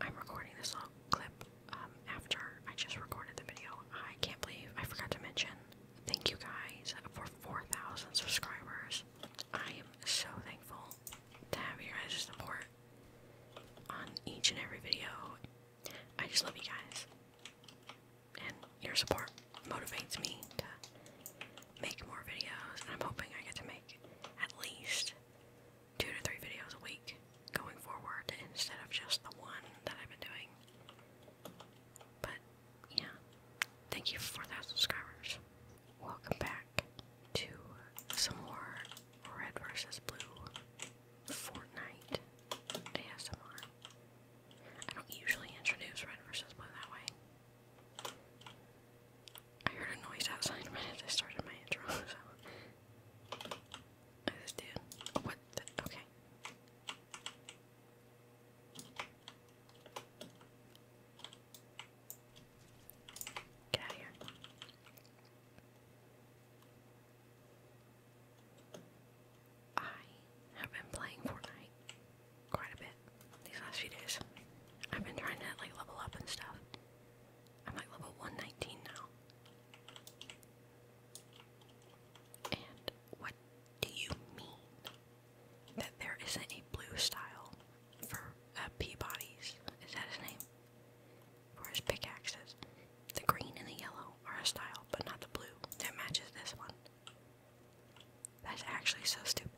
I'm recording this little clip um, after I just recorded the video. I can't believe I forgot to mention. Thank you guys for 4,000 subscribers. I am so thankful to have your guys' support on each and every video. I just love you guys. And your support motivates me to make more videos. And I'm hoping I get to make at least two to three videos a week going forward instead of just the one that I've been doing. But yeah, thank you for that subscribers. Welcome back to some more Red versus Blue Fortnite ASMR. I don't usually introduce Red versus Blue that way. I heard a noise outside when I started my intro, so I just did. what the? Okay. Get out of here. I have been playing Fortnite quite a bit these last few days. I've been trying to like level up and stuff. I'm like level 119 now. And what do you mean that there isn't a blue style for uh, Peabody's? Is that his name? For his pickaxes? The green and the yellow are a style, but not the blue that matches this one. That's actually so stupid.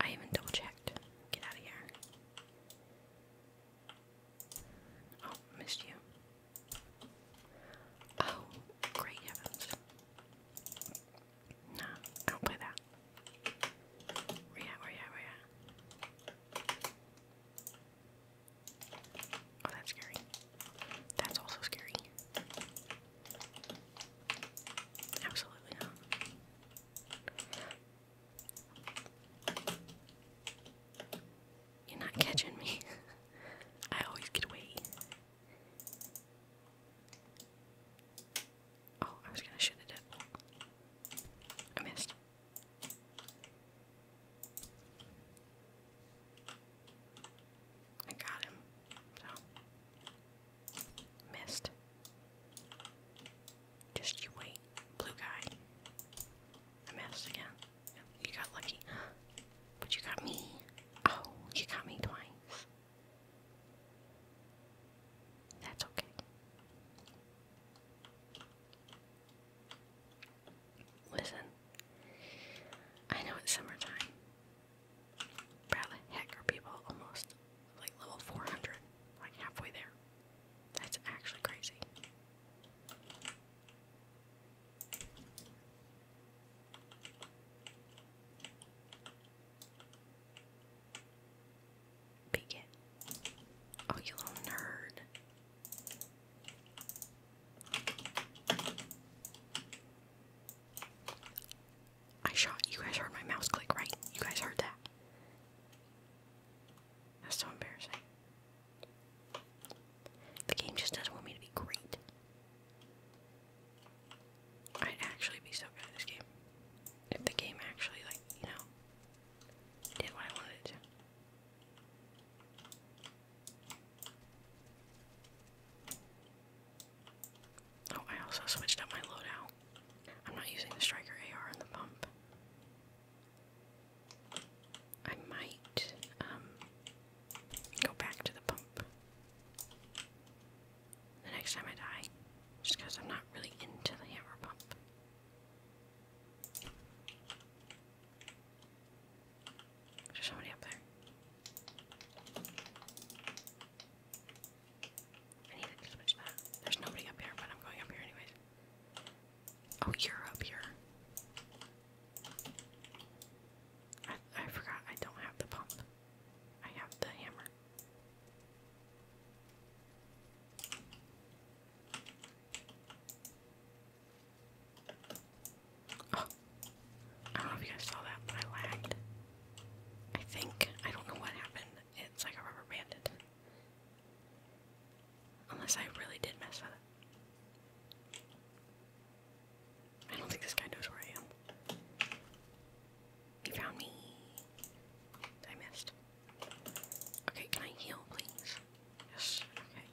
I even double checked. Get out of here. Oh, missed you. Oh, great heavens. Nah, don't play that. Where you at, Oh, that's scary. That's also scary. Absolutely not. You're not catching me. I always get away. Oh, I was gonna shoot it I missed. I got him. So missed. Just you wait, blue guy. I missed again. You got lucky. But you got me. Oh, you got me twice. That's okay. Listen, I know it's summertime. Bradley, heck, are people almost like level 400? Like halfway there. That's actually crazy. Peek Oh, you little nerd. I shot. You guys heard my mouse click, right? You guys heard that. That's so embarrassing. The game just doesn't want me to be great. I'd actually be so good at this game. If the game actually, like, you know, did what I wanted to. Oh, I also switched up my loadout. I'm not using the striker AR and the pump. I might um, go back to the pump the next time I die, just because I'm not really into the hammer pump. There's somebody up there. I need to switch that. There's nobody up here, but I'm going up here anyways. Oh, you're up here. I, I forgot I don't have the pump. I have the hammer. Oh, I don't know if you guys saw that, but I lagged. I think I don't know what happened. It's like I rubber banded. Unless I really did mess with I don't think this guy knows where I am. He found me. I missed. Okay, can I heal, please? Yes, okay.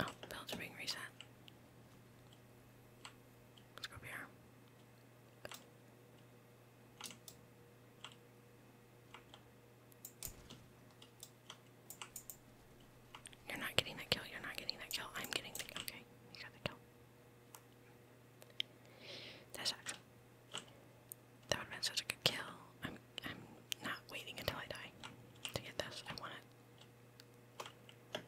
Oh, builds being reset. Let's go up here. You're not getting that kill. You're not getting that kill. I'm getting the kill. Okay, you got the kill. That sucks. That would have been such a good kill. I'm I'm not waiting until I die to get this. I want it.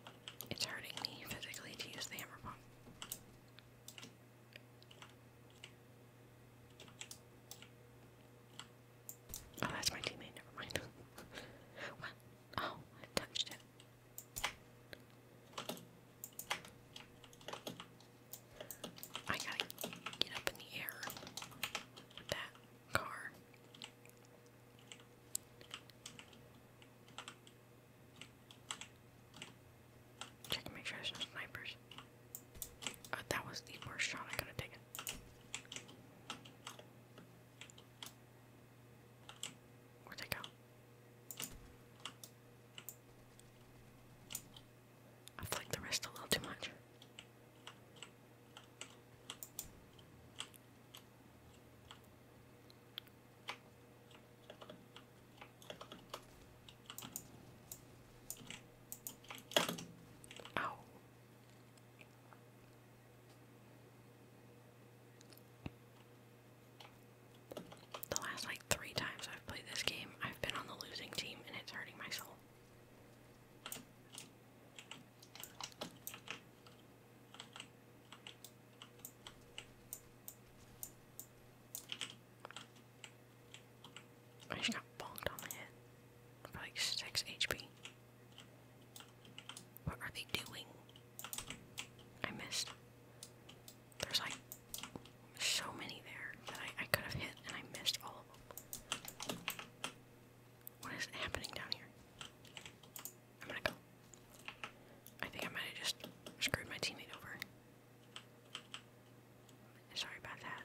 It's hurting me physically to use the hammer bomb. Oh, that's my teammate. Never mind. Oh, I touched it. I gotta get up in the air with that car. Check to make sure there's no snipers. Uh, that was the worst shot I could have taken. Where'd they go? I flicked the wrist a little too much. Ow. The last like three times I've played this game, I've been on the losing team and it's hurting my soul. I oh, just got bonked on the head. For like 6 HP. What are they doing? I missed. There's like so many there that I, I could have hit and I missed all of them. What is happening down here? I'm gonna go. I think I might have just screwed my teammate over. Sorry about that.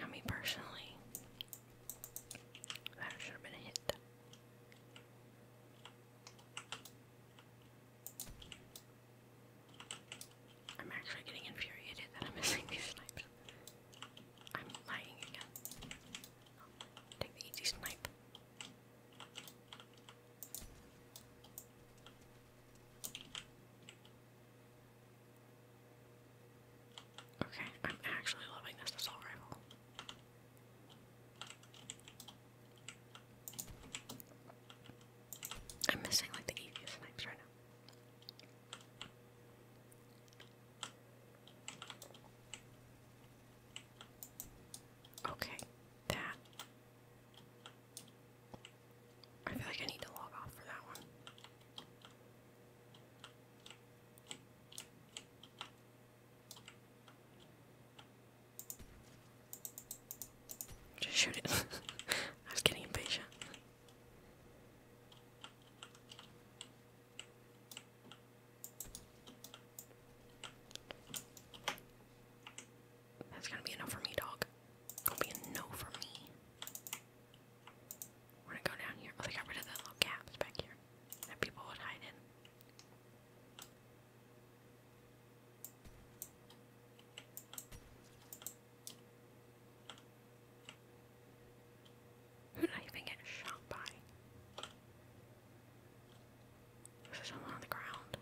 Now, me personally, that should have been a hit. I'm actually getting infuriated that I'm missing these snipes. I'm lying again. Take the easy snipe. Okay, I'm actually loving this assault rifle. I'm missing like the easiest snipes right now. Okay, that. I feel like I need to log off for that one. Just shoot it. I was getting impatient. That's gonna be enough for me, dog. Gonna be a no for me. We're gonna go down here. Oh, they got rid of the little gaps back here that people would hide in. Who did even get shot by? There's something on the ground.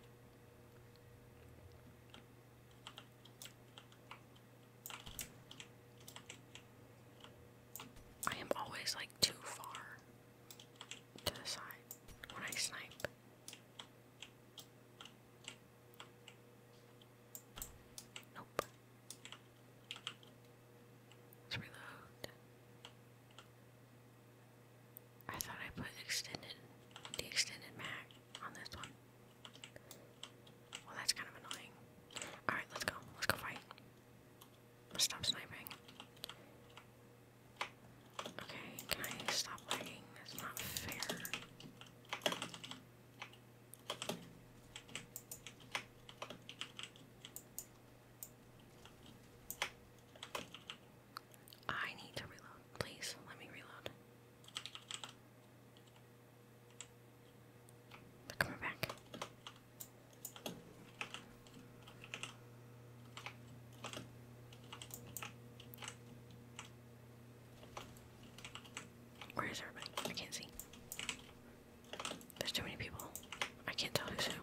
I am always like too far to the side when I snipe. Nope reload. I thought I put extended, the extended mag on this one. Well, that's kind of annoying. Alright, let's go. Let's go fight. stop sniping. Okay, can I stop lagging? That's not fair. I need to reload. Please, let me reload. They're back. Where is everybody? I can't see. There's too many people. I can't tell who's who.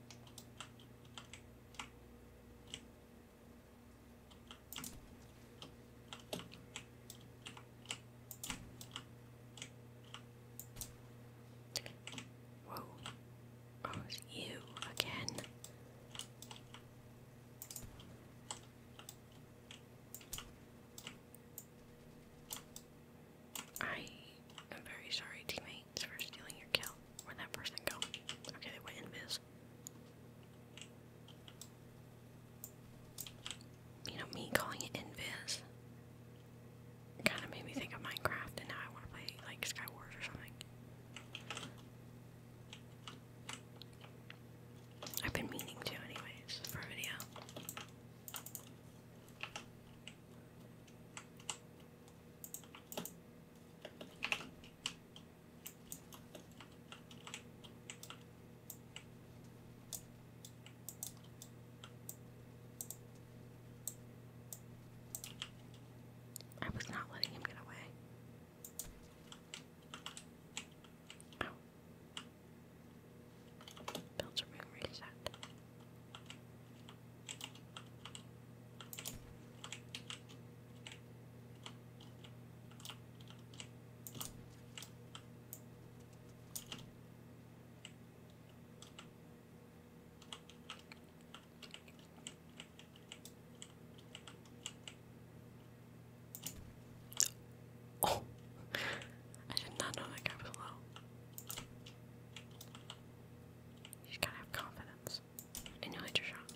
Whoa. Oh, it's you again. I am very sorry, teammates, for stealing your kill. Where'd that person go? Okay, they went invis. You know, me calling it invis kind of made me think of Minecraft, and now I want to play, like, Skywars or something. I've been meaning to, anyways, for a video. I was not letting him get away. Oh. Builds reset. Oh, I did not know that guy was low. You gotta have confidence in your later shots.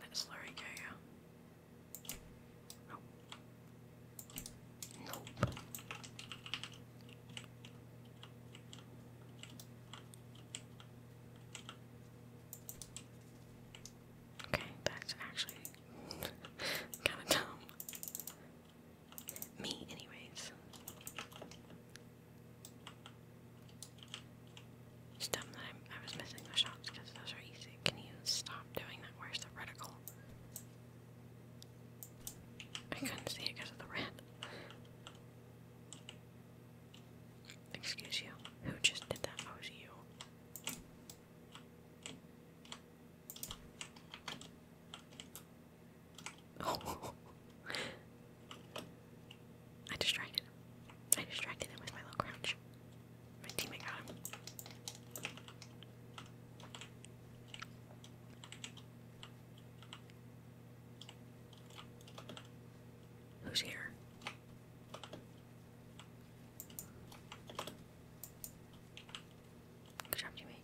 That slurry carrier. Oh. Okay, that's actually kind of dumb. Me, anyways. It's that I'm, I was missing the shots because those are easy. Can you stop doing that? Where's the reticle? I couldn't see it because of the red. Excuse you. Who just did that? Oh, it was you. I distracted him. I distracted him with my little crouch. My teammate got Who's here? Good job, Jimmy.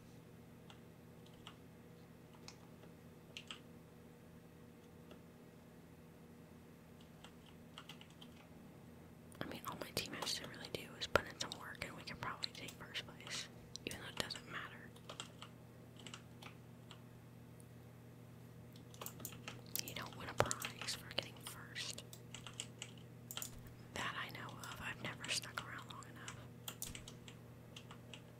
I mean, all my team has to really do is put in some work, and we can probably take first place, even though it doesn't matter. You don't win a prize for getting first. That I know of. I've never stuck around long enough.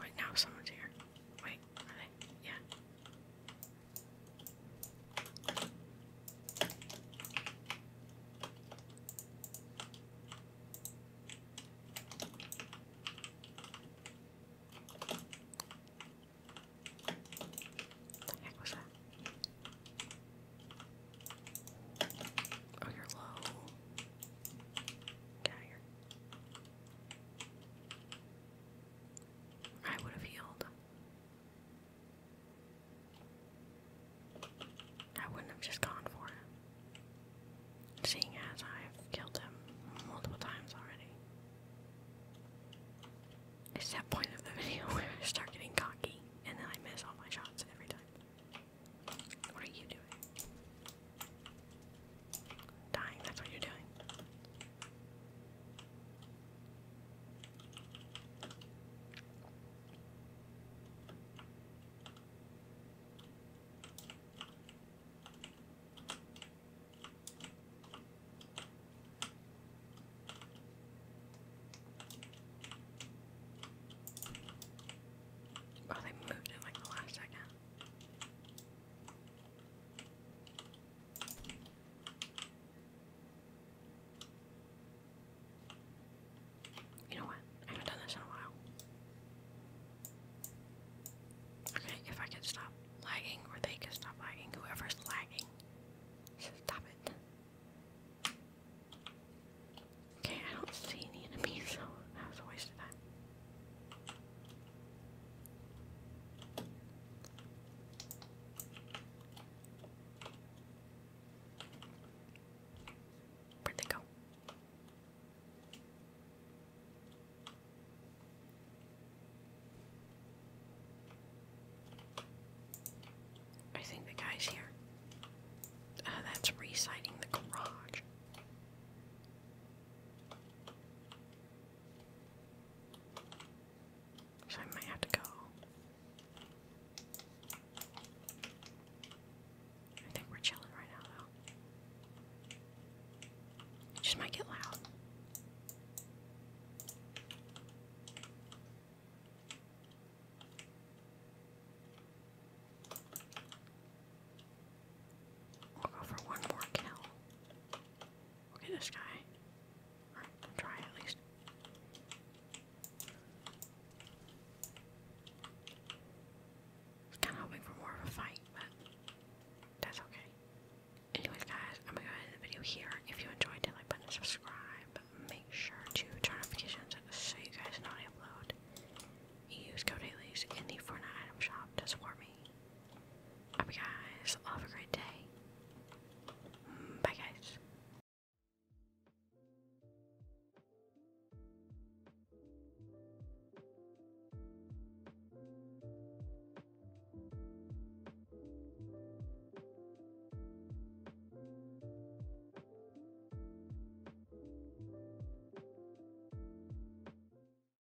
Wait, now someone's here. Wait, are they? Yeah. What the heck Oh, you're low. Get out of I would have healed. I wouldn't have just gone for it. Seeing as I've killed him multiple times already. It's that point of the video where I start getting cocky and then I miss all my shots every time. What are you doing? Dying, that's what you're doing. Oh, they moved it like the last second. You know what? I haven't done this in a while. Okay, if I could stop lagging, or they could stop lagging, whoever's lagging stop it. Okay, I don't see any enemies, so that was a waste of time. Where'd they go? I think the guy's here. Uh, that's reciting the garage. So I might have to go. I think we're chilling right now, though. It just might get loud. We'll go for one more kill. Look this guy. try at least. Kind of hoping for more of a fight, but that's okay. Anyways, guys, I'm gonna end the video here. If you enjoyed it, like button, and subscribe. Make sure to turn notifications on so you guys know I upload. Use code Alias in the Fortnite item shop to support me. Hope you guys all have a great day. Bye, guys.